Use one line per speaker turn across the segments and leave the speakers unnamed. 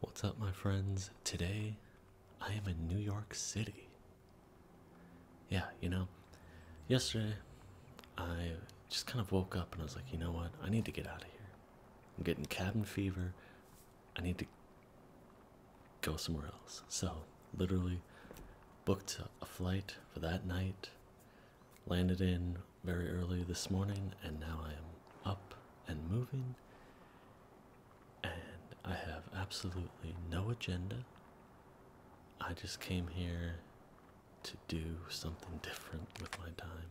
What's up, my friends? Today I am in New York City. Yeah, you know, yesterday I just kind of woke up and I was like, you know what? I need to get out of here. I'm getting cabin fever. I need to go somewhere else. So, literally booked a flight for that night, landed in very early this morning, and now I am up and moving, and I have absolutely no agenda. I just came here to do something different with my time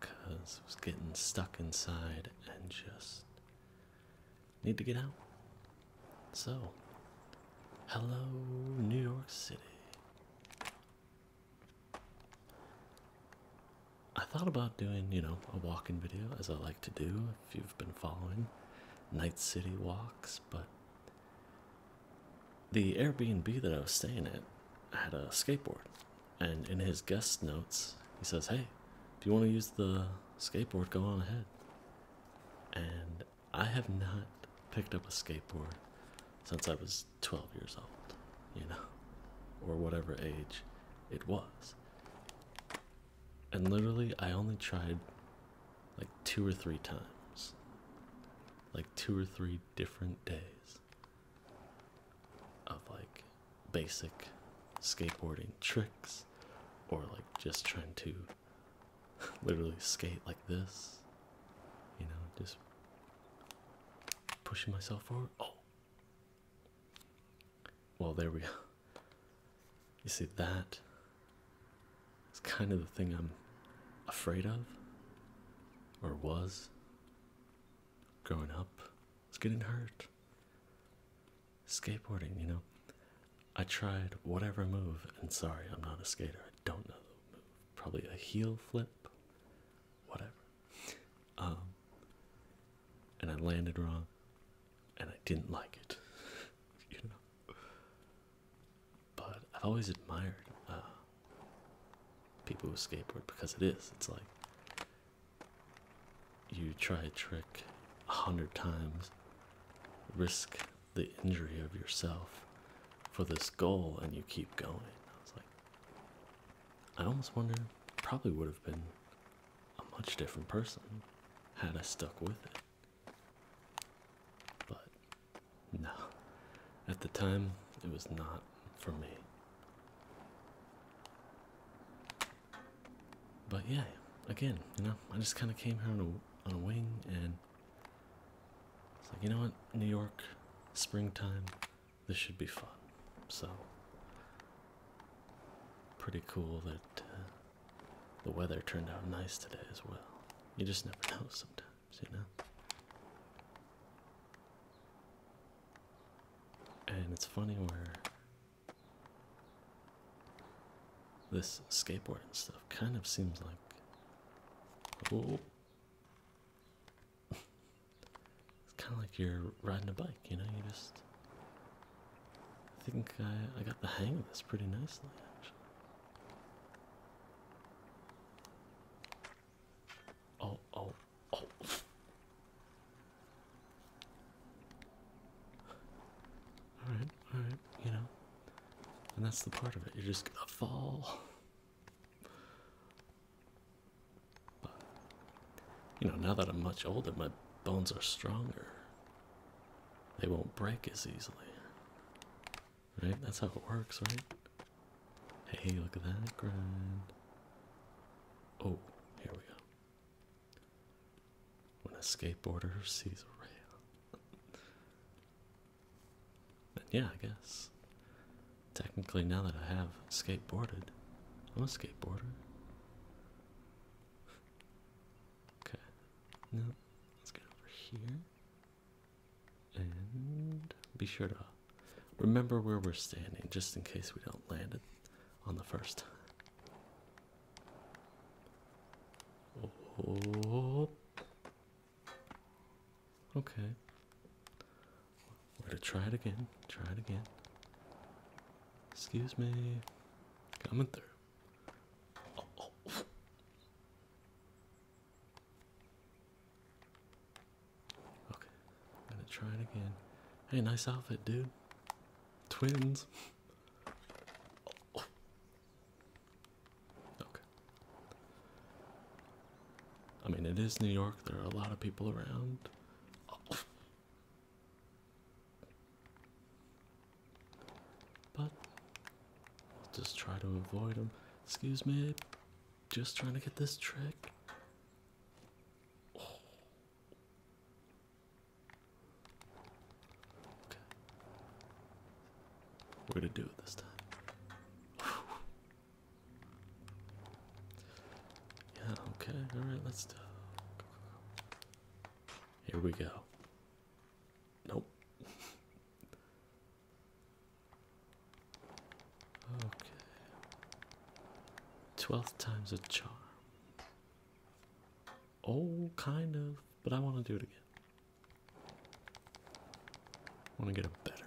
because I was getting stuck inside and just need to get out. So, hello, New York City. I thought about doing, you know, a walking video as I like to do if you've been following Night City walks, but the Airbnb that I was staying at had a skateboard. And in his guest notes, he says, Hey, if you want to use the skateboard, go on ahead. And I have not picked up a skateboard since I was 12 years old, you know, or whatever age it was. And literally, I only tried like two or three times, like two or three different days of like basic skateboarding tricks or like just trying to literally skate like this you know just pushing myself forward. Oh, well, there we go. You see, that? It's kind of the thing I'm afraid of, or was growing up. was getting hurt. Skateboarding, you know. I tried whatever move, and sorry, I'm not a skater. I don't know move. Probably a heel flip whatever. Um, and I landed wrong, and I didn't like it, you know. But I've always admired uh, people who skateboard because it is. It's like you try a trick a hundred times, risk the injury of yourself for this goal, and you keep going. I was like, I almost wonder, probably would have been a much different person had I stuck with it. But no, at the time, it was not for me. But yeah, again, you know, I just kind of came here on a, on a wing and it's like, you know what, New York, springtime. This should be fun. So, pretty cool that uh, the weather turned out nice today as well. You just never know sometimes, you know? And it's funny where this skateboard and stuff kind of seems like. Oh it's kind of like you're riding a bike, you know, you just. I think I, I got the hang of this pretty nicely, actually. Oh, oh, oh. Alright, alright, you know. And that's the part of it. You're just gonna fall you know, now that I'm much older, my bones are stronger. They won't break as easily. Right? That's how it works, right? Hey, look at that grind. Oh, here we go. When a skateboarder sees a rail yeah, I guess. Technically, now that I have skateboarded, I'm a skateboarder. Okay. Now, let's get over here. And be sure to remember where we're standing just in case we don't land it on the first time. Oh. Okay. We're gonna try it again. Try it again. Excuse me. Coming through. Okay. gonna try it again. Hey, nice outfit, dude. Twins. Okay. I mean, it is New York. There are a lot of people around. Oh. But just try to avoid them. Excuse me. Just trying to get this trick. Okay. We're gonna do it this time. Yeah, okay, alright, let's do Here we go. Nope. okay. Twelfth time's a charm. Oh, kind of, but I want to do it again. I want to get a better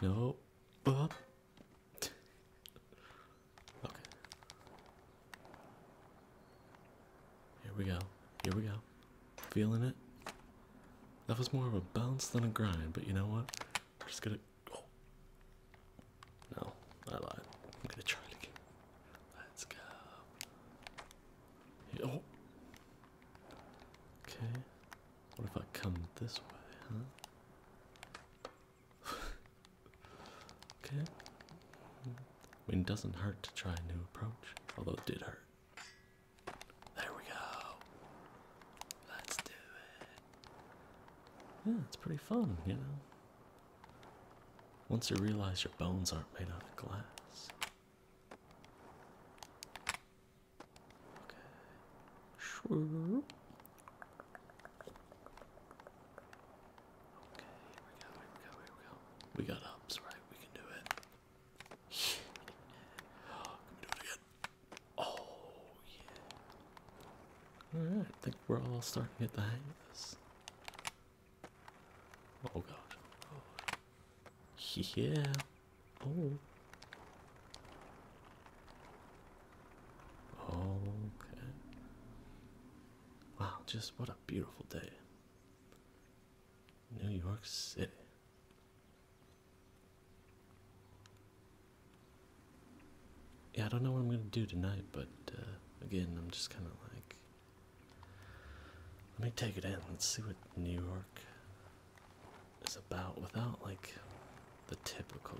landing than that. No. Okay. Here we go. Here we go. Feeling it? That was more of a bounce than a grind, but you know what? We're just gonna. Oh. No, I lied. I'm gonna try Let's go. Oh. Okay. What if I come this way, huh? okay. I mean, it doesn't hurt to try a new approach, although it did hurt. There we go. Let's do it. Yeah, it's pretty fun, you know. Once you realize your bones aren't made out of glass, Okay. Okay, here we go, here we go, here we go. We got ups, right? We can do it. can we do it again? Oh, yeah. Alright, I think we're all starting to get the hang of this. Oh god. Yeah. Oh. Okay. Wow, just what a beautiful day. New York City. Yeah, I don't know what I'm gonna do tonight, but uh, again, I'm just kind of like let me take it in. Let's see what New York is about without like the typical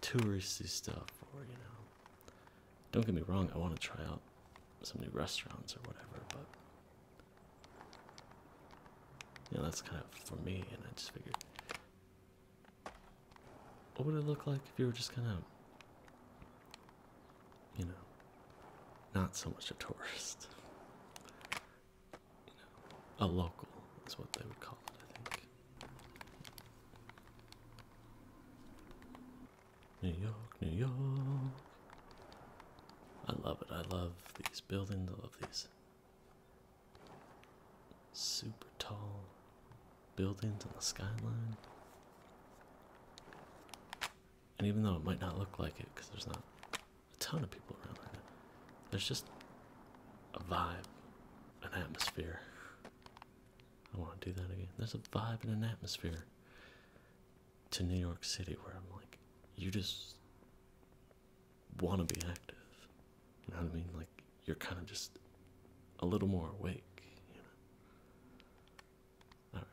touristy stuff or you know don't get me wrong I want to try out some new restaurants or whatever but you know that's kind of for me and I just figured what would it look like if you were just kind of you know, not so much a tourist, a local is what they would call it, I think. New York, New York. I love it. I love these buildings. I love these super tall buildings on the skyline. And even though it might not look like it, because there's not a ton of people around right there's just a vibe, an atmosphere. I want to do that again. There's a vibe and an atmosphere to New York City where I'm like, you just want to be active. You know what I mean? Like, you're kind of just a little more awake, all right.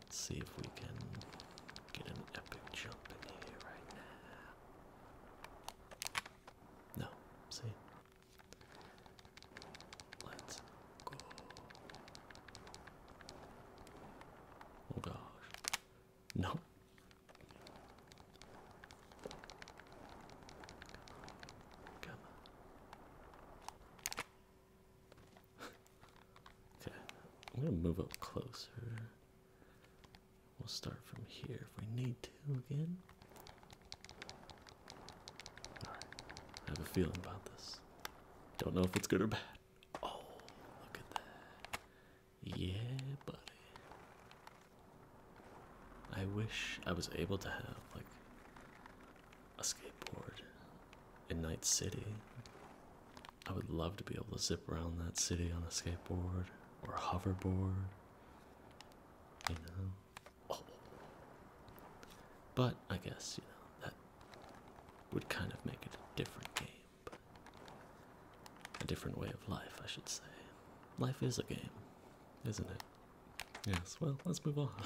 Let's see if we can get an epic jump in here right now. No, see? Let's go. Oh gosh. No. Come okay, I'm gonna move up closer. We'll start from here if we need to again. I have a feeling about this. Don't know if it's good or bad. Oh, look at that. Yeah, buddy. I wish I was able to have, like, a skateboard in Night City. I would love to be able to zip around that city on a skateboard or hoverboard. You know? Oh. But I guess, you know, that would kind of make it a different game. a different way of life, I should say. Life is a game, isn't it? Yes, well, let's move on.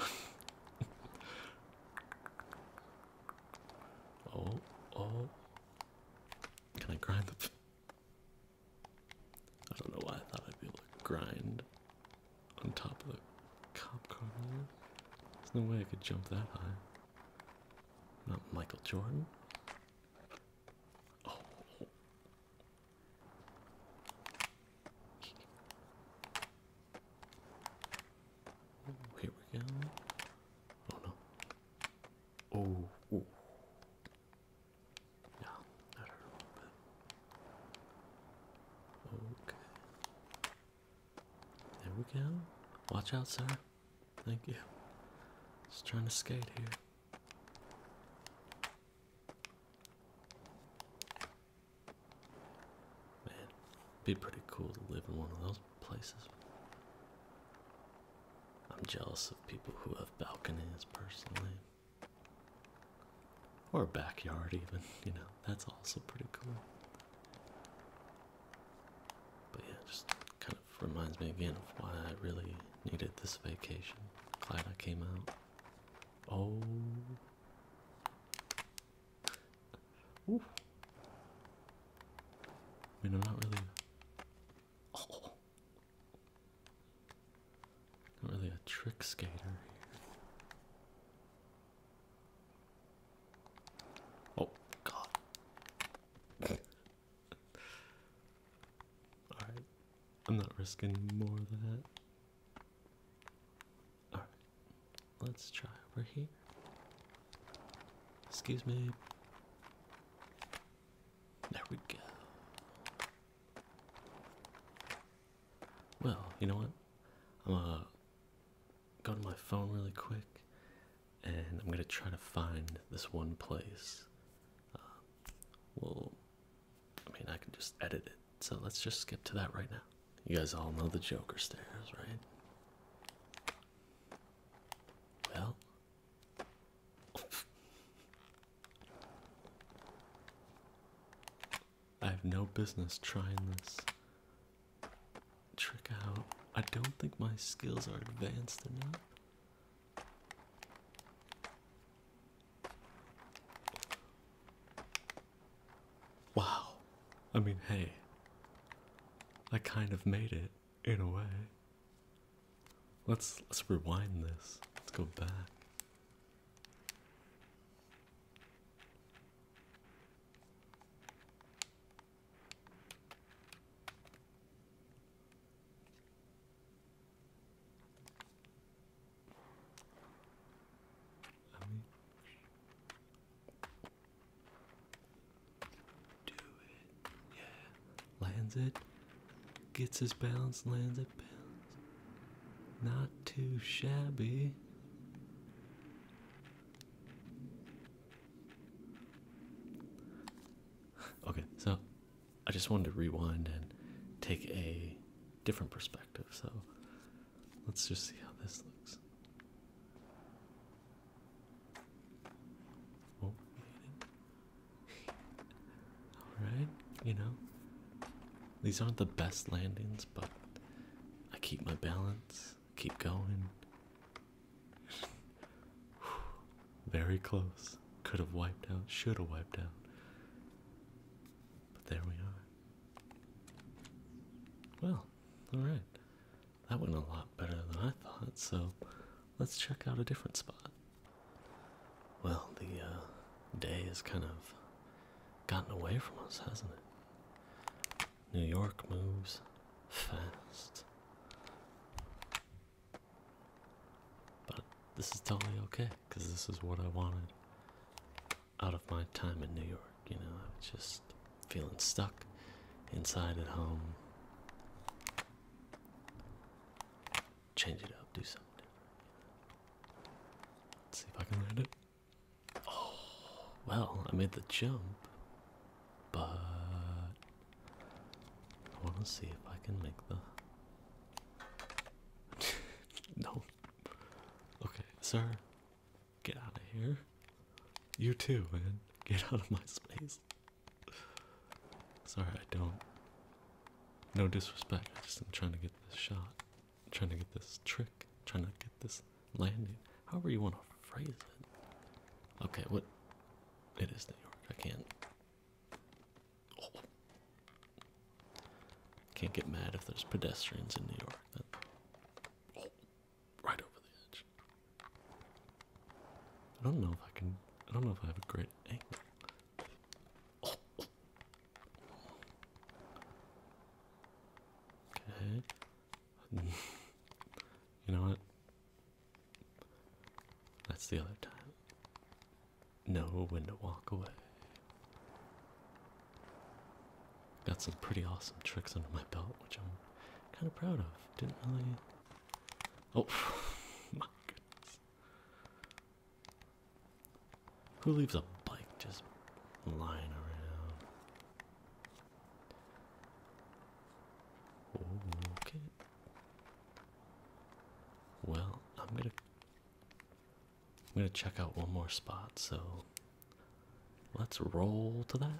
Oh, oh. Can I grind the. I don't know why I thought I'd be able to grind on top of the cop car. There's no way I could jump that high. Not Michael Jordan. Oh here we go. Oh no. Oh. Yeah, Okay. There we go. Watch out, sir. Thank you. Just trying to skate here. Man, be pretty cool to live in one of those places. I'm jealous of people who have balconies personally. Or a backyard even, you know, that's also pretty cool. But yeah, just kind of reminds me again of why I really needed this vacation. Glad I came out. Oh I am not really. Not really a trick skater Oh, God. Alright. I'm not risking more than that. All right, let's try over here. Excuse me. There we go. Well, you know what? I'm gonna uh, go to my phone really quick and I'm gonna try to find this one place. Uh, well, I mean, I can just edit it, so let's just skip to that right now. You guys all know the Joker stairs, right? Well, I have no business trying this trick out. I don't think my skills are advanced enough. Wow. I mean, hey, I kind of made it in a way. Let's let's rewind this. Let's go back do it. Yeah. Lands it. Gets his balance, lands it, balance. Not too shabby. Okay, so I just wanted to rewind and take a different perspective. So Let's just see how this looks. Oh, Alright, you know. These aren't the best landings, but I keep my balance, keep going. Very close. Could have wiped out, should have wiped out. But there we are. Well, alright. That went a lot better than I thought, so let's check out a different spot. Well, the uh, day has kind of gotten away from us, hasn't it? New York moves fast. But this is totally okay, because this is what I wanted out of my time in New York. You know, I was just feeling stuck inside at home. Change it up, do something Let's see if I can land it. Oh, well, I made the jump, but I want to see if I can make the. no. Okay, sir. Get out of here. You too, man. Get out of my space. Sorry, I don't. No disrespect. I just trying to get this shot. trying to get this trick. trying to get this landing. However you want to phrase it. Okay, what? It is New York. I can't. Oh. Can't get mad if there's pedestrians in New York right over the edge. I don't know if I can. I don't know if I have a great angle. Okay. you know what? That's the other time. No, when to walk away. Got some pretty awesome tricks under my belt, which I'm kind of proud of. Didn't really. Oh, my goodness. Who leaves a bike just lying around? Okay. Well, I'm gonna I'm going to check out one more spot, so let's roll to that.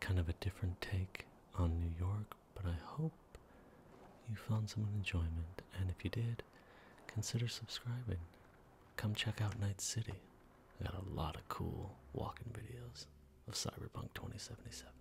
Kind of a different take on New York, but I hope you found some enjoyment. And if you did, consider subscribing. Come check out Night City. I got a lot of cool walking videos of Cyberpunk 2077.